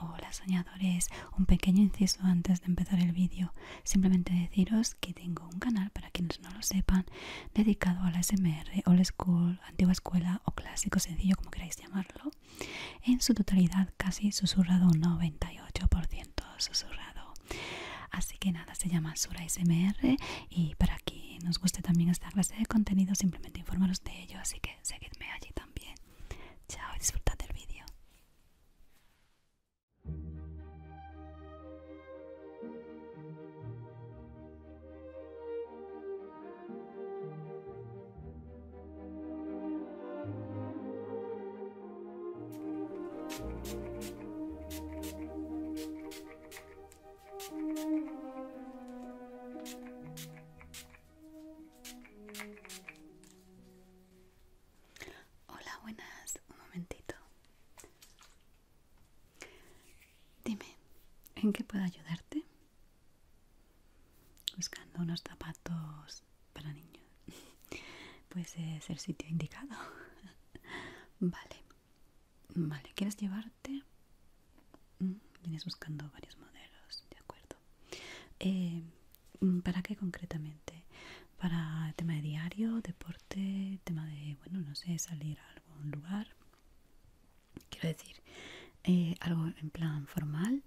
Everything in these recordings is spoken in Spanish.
Hola soñadores, un pequeño inciso antes de empezar el vídeo, simplemente deciros que tengo un canal para quienes no lo sepan dedicado a la SMR, old school, antigua escuela o clásico sencillo como queráis llamarlo, en su totalidad casi susurrado un 98% susurrado, así que nada, se llama Sura SMR y para quien nos guste también esta clase de contenido simplemente informaros de ello, así que seguidme allí también. Chao y disfrutad del vídeo. Hola, buenas. Un momentito. Dime, ¿en qué puedo ayudarte? Buscando unos zapatos para niños. Pues es el sitio indicado. Vale. Vale, ¿quieres llevarte? Mm, vienes buscando varios modelos, de acuerdo. Eh, mm, ¿Para qué concretamente? Para tema de diario, deporte, tema de, bueno, no sé, salir a algún lugar. Quiero decir, eh, algo en plan formal.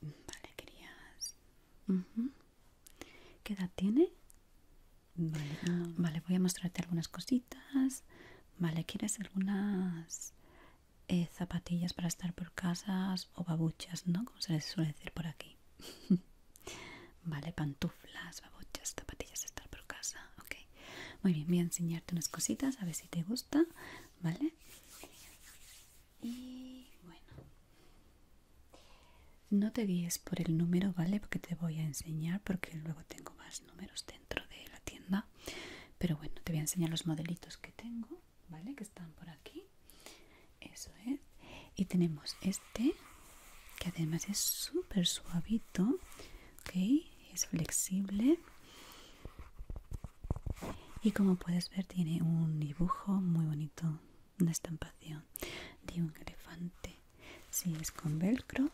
Vale, querías. ¿Qué edad tiene? vale, voy a mostrarte algunas cositas. Vale, ¿quieres algunas eh, zapatillas para estar por casas o babuchas, ¿no? Como se les suele decir por aquí. vale, pantuflas, babuchas, zapatillas, para estar por casa, ok. Muy bien, voy a enseñarte unas cositas, a ver si te gusta, ¿vale? Y bueno. No te guíes por el número, ¿vale? Porque te voy a enseñar porque luego tengo más números dentro de la tienda pero bueno te voy a enseñar los modelitos que tengo vale que están por aquí eso es y tenemos este que además es súper suavito es flexible y como puedes ver tiene un dibujo muy bonito una estampación de un elefante si sí, es con velcro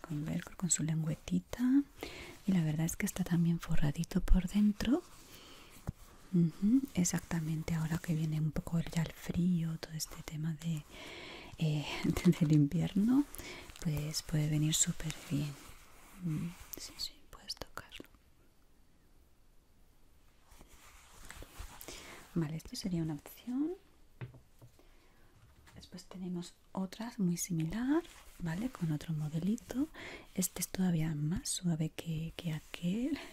con con su lengüetita y la verdad es que está también forradito por dentro exactamente ahora que viene un poco ya el frío todo este tema de eh, del invierno pues puede venir súper bien sí sí puedes tocarlo Vale, esto sería una opción. Después tenemos otras muy similares ¿vale? Con otro modelito. Este es todavía más suave que, aquel.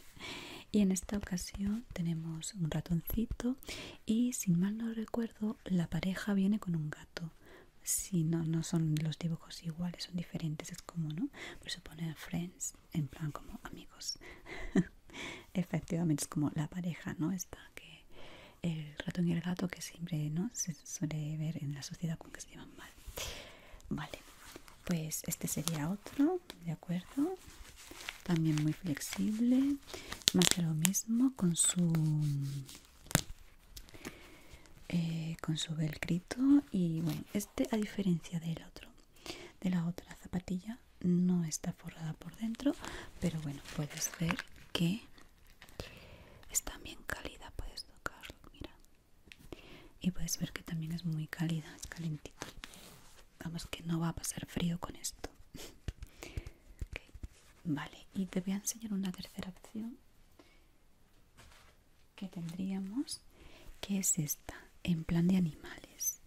Y en esta ocasión tenemos un ratoncito y si mal no recuerdo la pareja viene con un gato. Si no, no son los dibujos iguales, son diferentes, es como, ¿no? Por eso pone Friends en plan como amigos efectivamente es como la pareja no está que el ratón y el gato que siempre no se suele ver en la sociedad con que se llevan mal vale pues este sería otro de acuerdo también muy flexible más que lo mismo con su eh, con su velcrito y bueno este a diferencia del otro de la otra zapatilla no está forrada por dentro pero bueno puedes ver que está bien cálida puedes tocarlo mira y puedes ver que también es muy cálida es calentita vamos que no va a pasar frío con esto vale y te voy a enseñar una tercera opción que tendríamos que es esta, en plan de animales,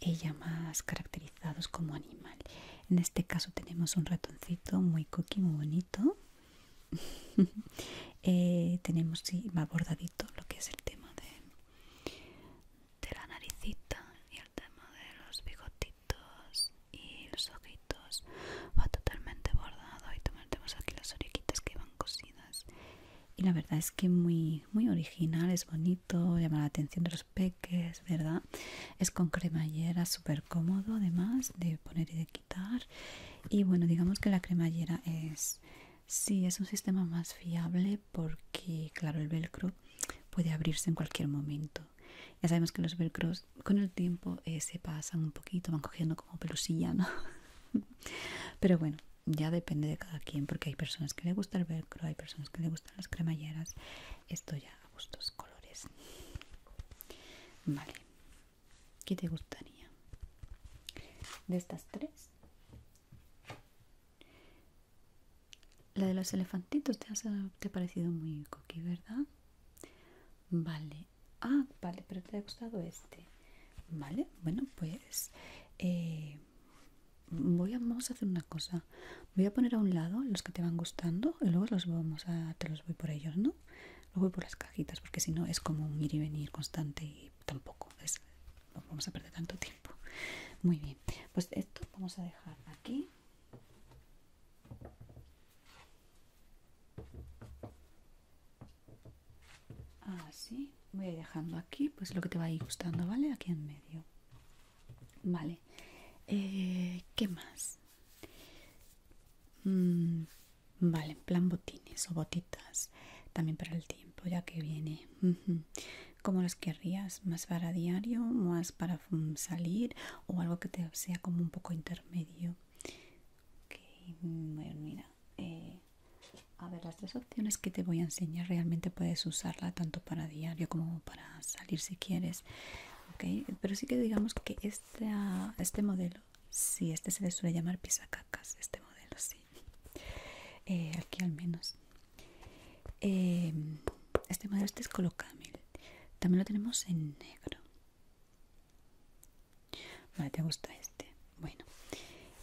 ella más caracterizados como animal. En este caso tenemos un ratoncito muy cookie, muy bonito. Eh, tenemos sí, va bordadito lo que es el tema de, de la naricita y el tema de los bigotitos y los ojitos. Va totalmente bordado y también tenemos aquí las orejitas que van cosidas y la verdad es que muy muy original es bonito llama la atención de los peques verdad es con cremallera súper cómodo además de poner y de quitar y bueno digamos que la cremallera es sí es un sistema más fiable porque claro el velcro puede abrirse en cualquier momento ya sabemos que los velcros con el tiempo eh, se pasan un poquito van cogiendo como pelusilla no pero bueno ya depende de cada quien, porque hay personas que le gusta el velcro, hay personas que le gustan las cremalleras. Esto ya a gustos colores. Vale, ¿qué te gustaría? De estas tres, la de los elefantitos te, te ha parecido muy coqui, ¿verdad? Vale, ah, vale, pero te ha gustado este. Vale, bueno, pues eh, voy a, vamos a hacer una cosa. Voy a poner a un lado los que te van gustando y luego los vamos a, te los voy por ellos, ¿no? Los voy por las cajitas porque si no es como un ir y venir constante y tampoco es, vamos a perder tanto tiempo. Muy bien, pues esto vamos a dejar aquí así ah, voy dejando aquí pues lo que te va a ir gustando vale aquí en medio vale eh, qué más mm, vale en plan botines o botitas también para el tiempo ya que viene ¿cómo como los querrías más para diario más para salir o algo que te sea como un poco intermedio ok mm, bueno mira eh, a ver, las tres opciones que te voy a enseñar realmente puedes usarla tanto para diario como para salir si quieres. Pero sí que digamos que este, ah, este modelo, sí, este se le suele llamar pisacacas, este modelo, sí. Eh, aquí al menos. Eh, este modelo este es colocable También lo tenemos en negro. Vale, ¿te gusta este? bueno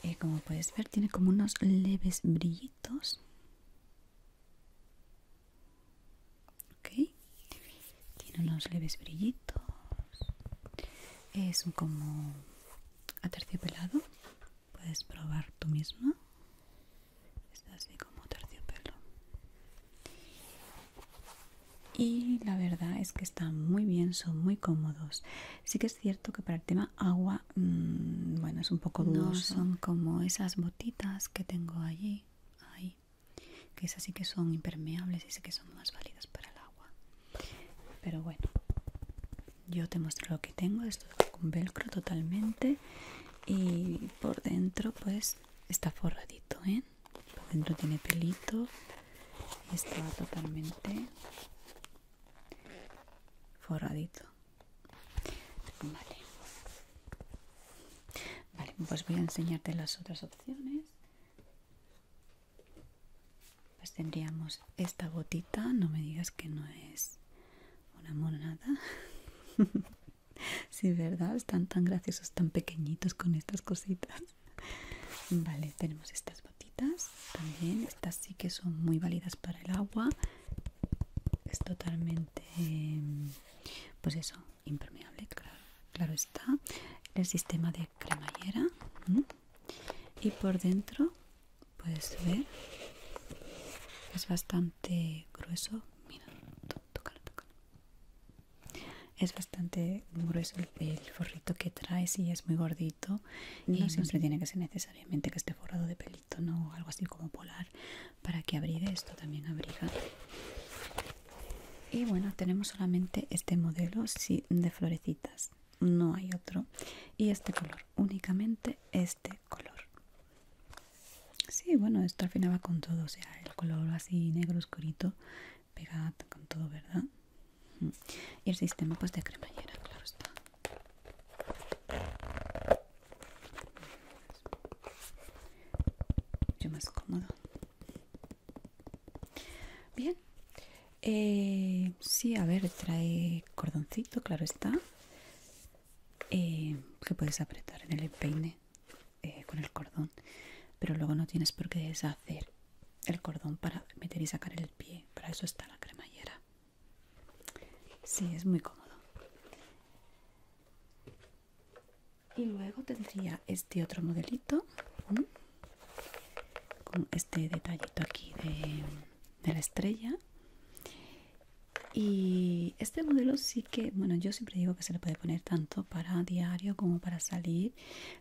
eh, como puedes ver tiene como unos leves brillitos tiene unos leves brillitos es un como aterciopelado puedes probar tú mismo está así como terciopelo y la verdad es que están muy bien son muy cómodos que cierto que para el tema agua, mm, bueno, es un poco No son como esas botitas que tengo allí, ahí, que esas sí que son impermeables y sé que son más válidas para el agua. Pero bueno, yo te muestro lo que tengo. Esto es con velcro totalmente y por dentro pues está forradito, ¿eh? Por dentro tiene pelito y está totalmente forradito vale pues voy a enseñarte las otras opciones pues tendríamos esta botita no me digas que no es una monada sí verdad están tan graciosos tan pequeñitos con estas cositas vale tenemos estas también estas sí que son muy válidas para el agua es totalmente pues eso impermeable claro, está el sistema de cremallera y por dentro puedes ver es bastante grueso mira es bastante grueso el, forrito que trae, y es muy gordito y no siempre tiene que ser necesario Obviamente que esté forrado de pelito o algo así como polar para que abrigue esto también abriga y bueno tenemos solamente este modelo sí, de florecitas no hay otro y este color únicamente este color sí bueno esto al con todo o sea el color así negro oscurito pegado con todo verdad y el sistema pues de cremallera, claro está. mucho más cómodo. Bien. Eh, sí, a ver, trae cordoncito, claro está. Eh, que puedes apretar en el peine eh, con el cordón. Pero luego no tienes por qué deshacer el cordón para meter y sacar el pie. Para eso está la cremallera. Sí, es muy cómodo. Y luego tendría este otro modelito con este detallito aquí de, de la estrella. Y este modelo sí que, bueno, yo siempre digo que se le puede poner tanto para diario como para salir.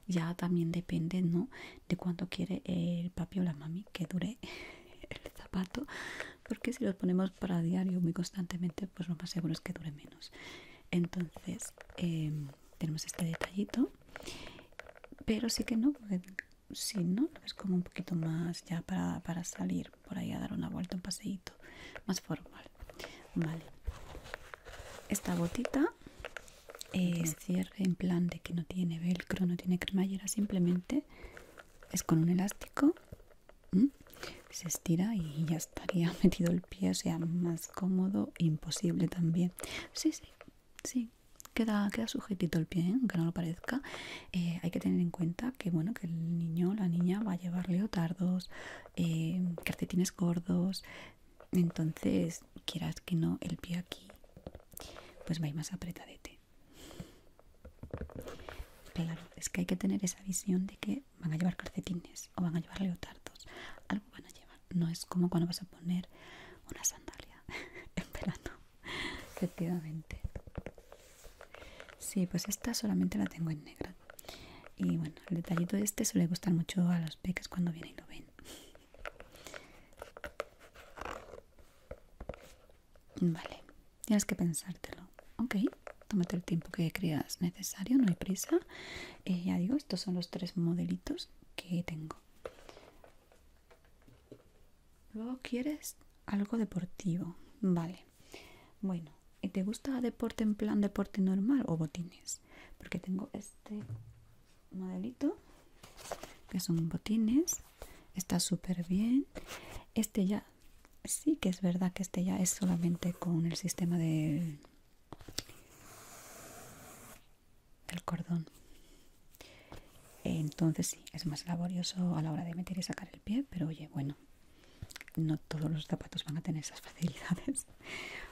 Ya también depende, ¿no? De cuánto quiere el papi o la mami que dure el zapato porque si los ponemos para diario muy constantemente pues lo más seguro es que dure menos entonces em, tenemos este detallito pero sí que no porque si no es como un poquito más ya para, para salir por ahí a dar una vuelta un paseíto más formal vale esta botita eh, cierre en plan de que no tiene velcro, no tiene cremallera, simplemente es con un elástico, se estira y ya estaría metido el pie, o sea, más cómodo, imposible también. Sí, sí, sí. Queda, sujetito el pie, ¿eh? aunque no lo parezca. Eh, hay que tener en cuenta que bueno que el niño la niña va a llevar leotardos, cartetines gordos. Entonces, quieras que no, el pie aquí pues vais más apretadete. Claro, es que hay que tener esa visión de que van a llevar calcetines o van a llevar leotardos, algo van a llevar. No es como cuando vas a poner una sandalia en pelado. efectivamente. Sí, pues esta solamente la tengo en negra. Y bueno, el detallito de este suele gustar mucho a los peques cuando vienen y lo ven. Vale, tienes que pensártelo. Ok, tómate el tiempo que creas necesario, no hay prisa. Eh, ya digo, estos son los tres modelitos que tengo. Luego quieres algo deportivo. Vale, bueno, y ¿te gusta deporte en plan deporte normal o botines? Porque tengo este modelito que son botines está súper bien este ya sí que es verdad que este ya es solamente con el sistema del, cordón entonces sí es más laborioso a la hora de meter y sacar el pie pero oye bueno no todos los zapatos van a tener esas facilidades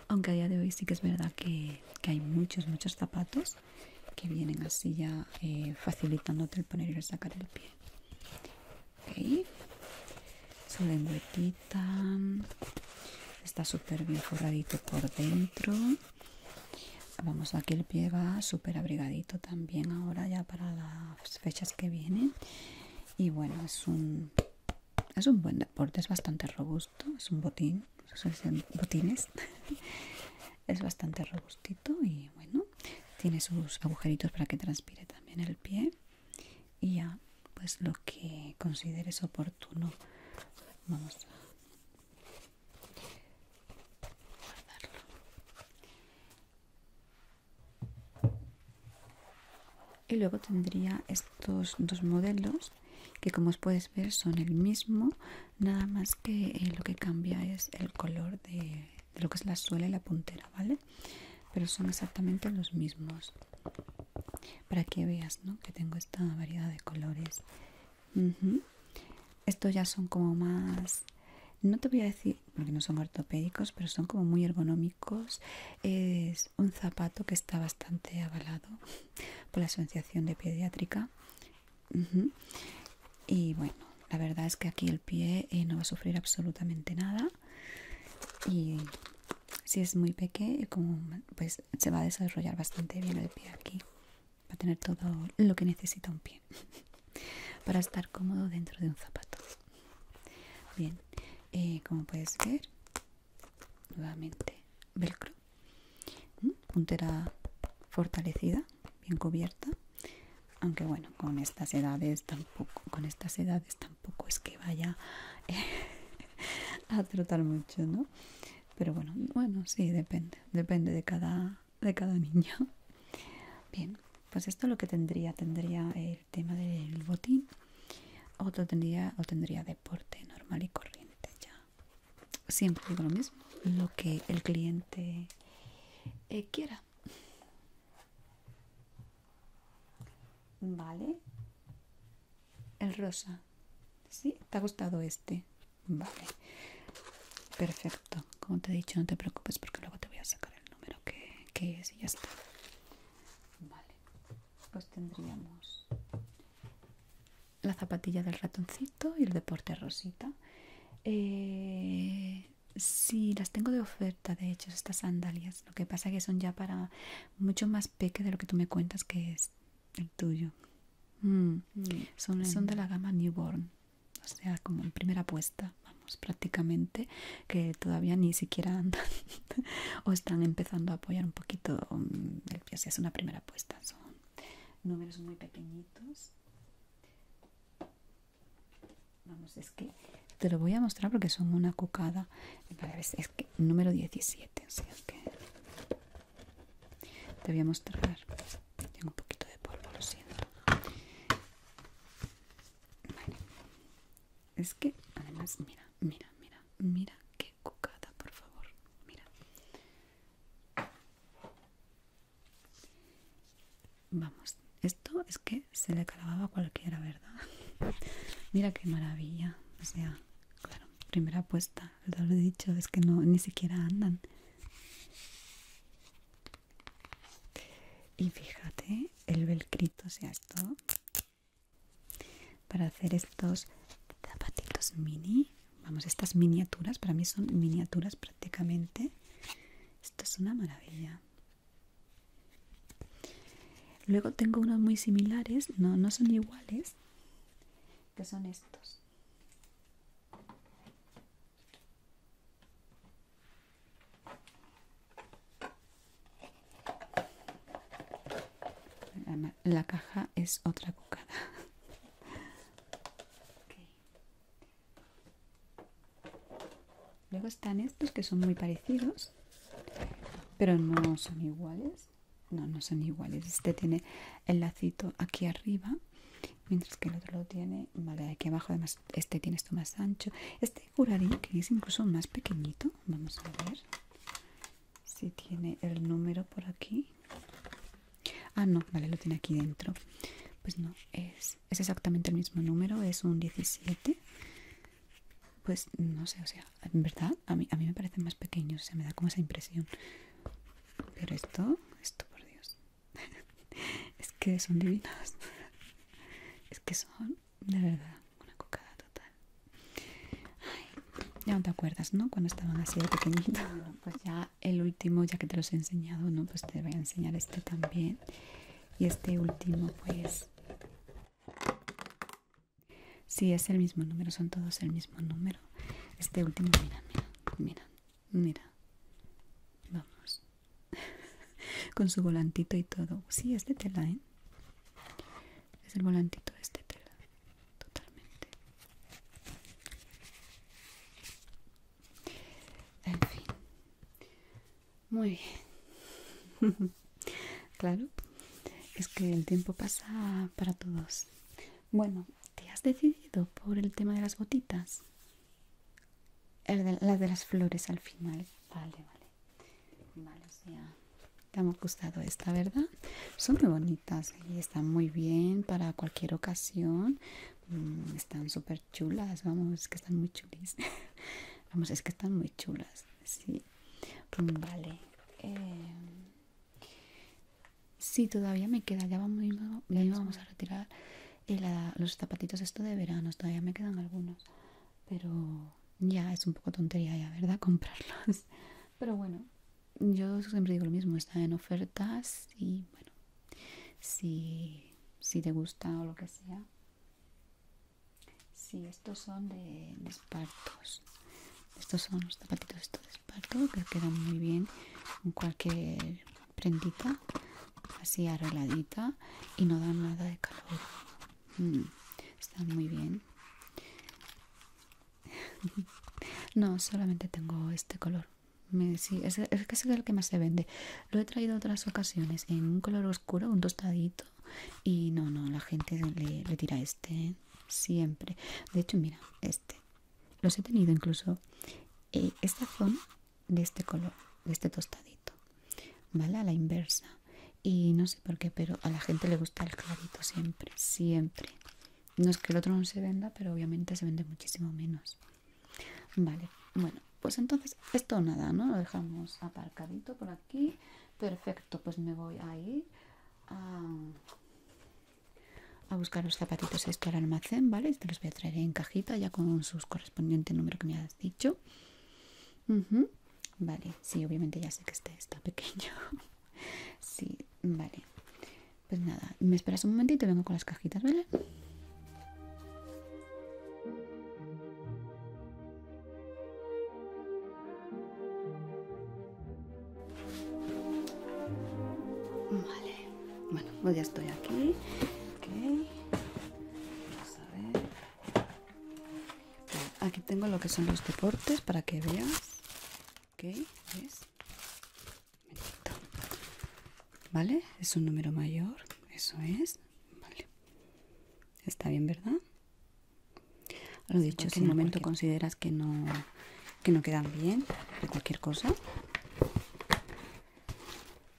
aunque a día de hoy sí que es verdad que hay muchos muchos zapatos que vienen así ya eh, facilitándote el poner y sacar el pie ok su lengüetita está súper bien forradito por dentro vamos aquí el pie va súper abrigadito también ahora ya para las fechas que vienen y bueno es un es un buen deporte es bastante robusto es un botín pues, es bastante robustito y bueno tiene sus agujeritos para que transpire también el pie y ya pues lo que consideres oportuno vamos a guardarlo y luego tendría estos dos modelos que como os puedes ver son el mismo nada más que eh, lo que cambia es el color de, lo que es la suela y la puntera vale pero son exactamente los mismos para que veas ¿no? que tengo esta variedad de colores estos ya son como más no te voy a decir porque no son ortopédicos pero son como muy ergonómicos es un zapato que está bastante avalado por la asociación de pediátrica y bueno, la verdad es que aquí el pie eh, no va a sufrir absolutamente nada. Y si es muy pequeño, eh, como, pues se va a desarrollar bastante bien el pie aquí. Va a tener todo lo que necesita un pie para estar cómodo dentro de un zapato. Bien, eh, como puedes ver, nuevamente velcro ¿Mm? puntera fortalecida bien cubierta aunque bueno con estas edades tampoco con estas edades tampoco es que vaya eh, a trotar mucho no pero bueno bueno sí depende depende de cada de cada niño bien pues esto lo que tendría tendría el tema del botín otro tendría o tendría deporte normal y corriente ya siempre digo lo mismo, lo que el cliente eh, quiera. Vale. El rosa. si ¿Te ha gustado este? Vale. Perfecto. Como te he dicho, no te preocupes porque luego te voy a sacar el número que, que es y ya está. Vale. Pues tendríamos la zapatilla del ratoncito y el deporte rosita. Eh, si las tengo de oferta, de hecho, estas sandalias. Lo que pasa es que son ya para mucho más peque de lo que tú me cuentas que es el tuyo. Mm. Mm, son, son de la gama Newborn, o sea, como en primera apuesta vamos, prácticamente, que todavía ni siquiera andan o están empezando a apoyar un poquito mm, el pie, o sea, es una primera apuesta Son números muy pequeñitos. Vamos, es que te lo voy a mostrar porque son una cucada. Vale, es, es que número 17, que te voy a mostrar. Tengo un poquito de polvo, lo siento. Vale. Es que además, mira, mira, mira, mira qué cucada, por favor. Mira. Vamos, esto es que se le calababa a cualquiera, ¿verdad? Mira qué maravilla. O sea, claro, primera apuesta, lo he dicho, es que no ni siquiera andan. Y fíjate el velcrito, o sea, esto para hacer estos zapatitos mini vamos estas miniaturas para mí son miniaturas prácticamente esto es una maravilla luego tengo unos muy similares no, no son iguales que son estos la, caja es otra cucada. Luego están estos que son muy parecidos, pero no son iguales. No, no son iguales. Este tiene el lacito aquí arriba, mientras que el otro lo tiene, vale, aquí abajo. Además, este tiene esto más ancho. Este curarín que es incluso más pequeñito. Vamos a ver si tiene el número por aquí ah no vale lo tiene aquí dentro pues no es, es exactamente el mismo número es un 17 pues no sé o sea en verdad a mí, me parecen más pequeños o me da como esa impresión pero esto esto por dios es que son divinas es que son de verdad una cocada total ya no te acuerdas, ¿no? Cuando estaban así de pequeñitos pues ya el último, ya que te los he enseñado, ¿no? Pues te voy a enseñar este también. Y este último, pues... Sí, es el mismo número, son todos el mismo número. Este último, mira, mira, mira, mira. Vamos. Con su volantito y todo. Sí, es de tela, ¿eh? Es el volantito de este tela totalmente. En fin, muy bien. claro, es que el tiempo pasa para todos. Bueno, ¿te has decidido por el tema de las botitas? la de las flores al final. Vale, vale. Te ha gustado esta, ¿verdad? Son muy bonitas y están muy bien para cualquier ocasión. Mm, están súper chulas, vamos, es que están muy chulis. vamos, es que están muy chulas, sí. Mm, vale. si em, sí, todavía me queda, ya vamos, vamos a retirar los zapatitos esto de verano, todavía me quedan algunos. Pero ya es un poco tontería ya, ¿verdad? Comprarlos. Pero bueno, yo siempre digo lo mismo, está en ofertas y bueno, si, te gusta o lo que sea. Sí, estos son de, espartos. Estos son los zapatitos estos de esparto que quedan muy bien con cualquier prendita, así arregladita y no dan nada de calor. Mm, están muy bien. no, solamente tengo este color. es, que es el que más se vende. Lo he traído otras ocasiones en un color oscuro, un tostadito. Y no, no, la gente le, tira este siempre. De hecho, mira, este. Los he tenido incluso eh, esta zona de este color, de este tostadito. ¿Vale? A la inversa. Y no sé por qué, pero a la gente le gusta el clarito siempre, siempre. No es que el otro no se venda, pero obviamente se vende muchísimo menos. Vale, bueno, pues entonces esto nada, ¿no? Lo dejamos aparcadito por aquí. Perfecto, pues me voy a ir a, buscar los zapatitos esto al almacén, ¿vale? Y te este los voy a traer en cajita ya con sus correspondiente número que me has dicho. Vale, sí, obviamente ya sé que este está pequeño. Sí, vale. Pues nada, me esperas un momentito y vengo con las cajitas, ¿vale? Vale, bueno, pues ya estoy aquí. a ver. Aquí tengo lo que son los deportes para que veas ok vale es un número mayor eso es vale está bien verdad lo dicho si en un momento consideras que no quedan bien de cualquier cosa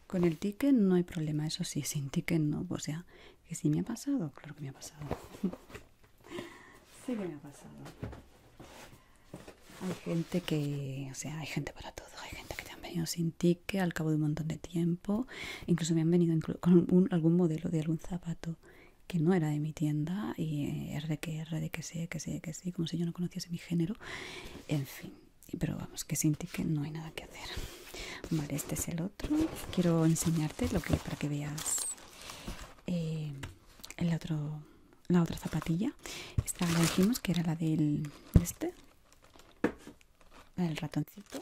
con el ticket no hay problema eso sí sin ticket no o sea que si me ha pasado claro que me ha pasado sí que me ha pasado. Hay gente que, o sea, hay gente para todo. Hay gente que te han venido sin ticket al cabo de un montón de tiempo. Incluso me han venido con algún modelo de algún zapato que no era de mi tienda y es eh, de que R de que sea que sé, que sí, como si yo no conociese mi género. En fin, pero vamos, que sin ticket no hay nada que hacer. Vale, este es el otro. Quiero enseñarte lo que para que veas. Eh, el otro, la otra zapatilla. Esta la dijimos que era la del este, el ratoncito.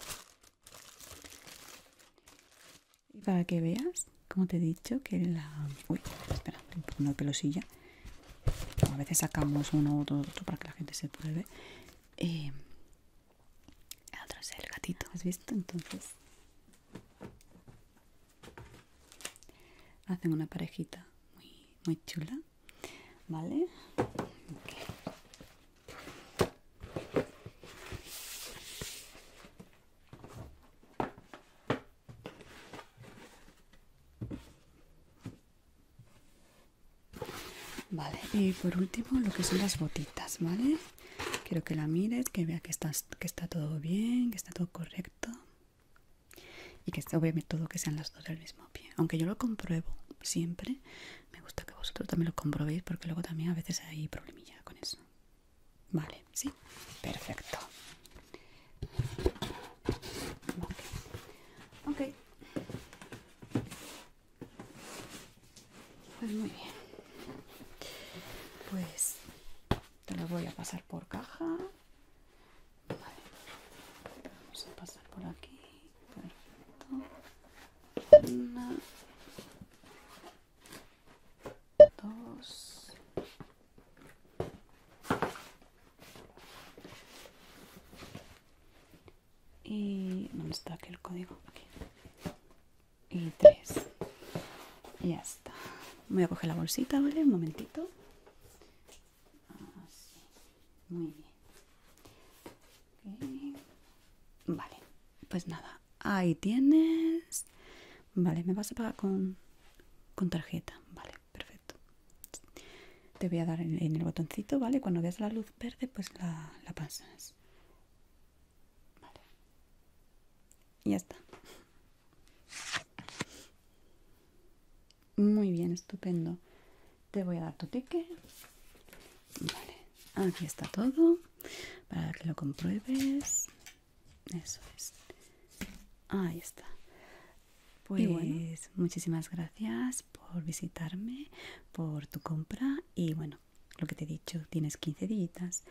Y para que veas, como te he dicho, que la... Uy, espera, una pelosilla. A veces sacamos uno u otro, para que la gente se pruebe. Eh, el otro es el gatito, ¿has visto? Entonces hacen una parejita muy, muy chula vale Vale, y por último lo que son las botitas, ¿vale? Quiero que la mires, que vea que, estás, que está todo bien, que está todo correcto. Y que obviamente todo que sean las dos del mismo pie. Aunque yo lo compruebo siempre, me gusta que vosotros también lo comprobéis porque luego también a veces hay problemilla con eso. Vale, sí, perfecto. Ok. okay. Pues muy bien. Pues te lo voy a pasar por caja. Vale. Vamos a pasar por aquí. Perfecto. Una. Dos. Y... ¿Dónde está aquí el código? Aquí y tres. Ya está. Voy a coger la bolsita, ¿vale? Un momentito. Muy bien. Vale. Pues nada. Ahí tienes. Vale, me vas a pagar con, con tarjeta. Vale, perfecto. Te voy a dar en, en, el botoncito, ¿vale? Cuando veas la luz verde, pues la, la pasas. Y ya está. Muy bien, estupendo. Te voy a dar tu ticket. aquí está todo para que lo compruebes. Eso es. Ahí está. Pues muchísimas gracias por visitarme, por tu compra y bueno, lo que te he dicho, tienes 15 días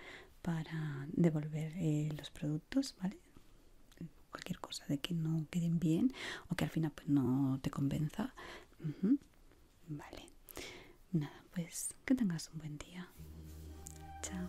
para devolver eh, los productos, ¿vale? Cualquier cosa de que no queden bien o que al final pues no te convenza. Vale. Nada, pues que tengas un buen día. Chao.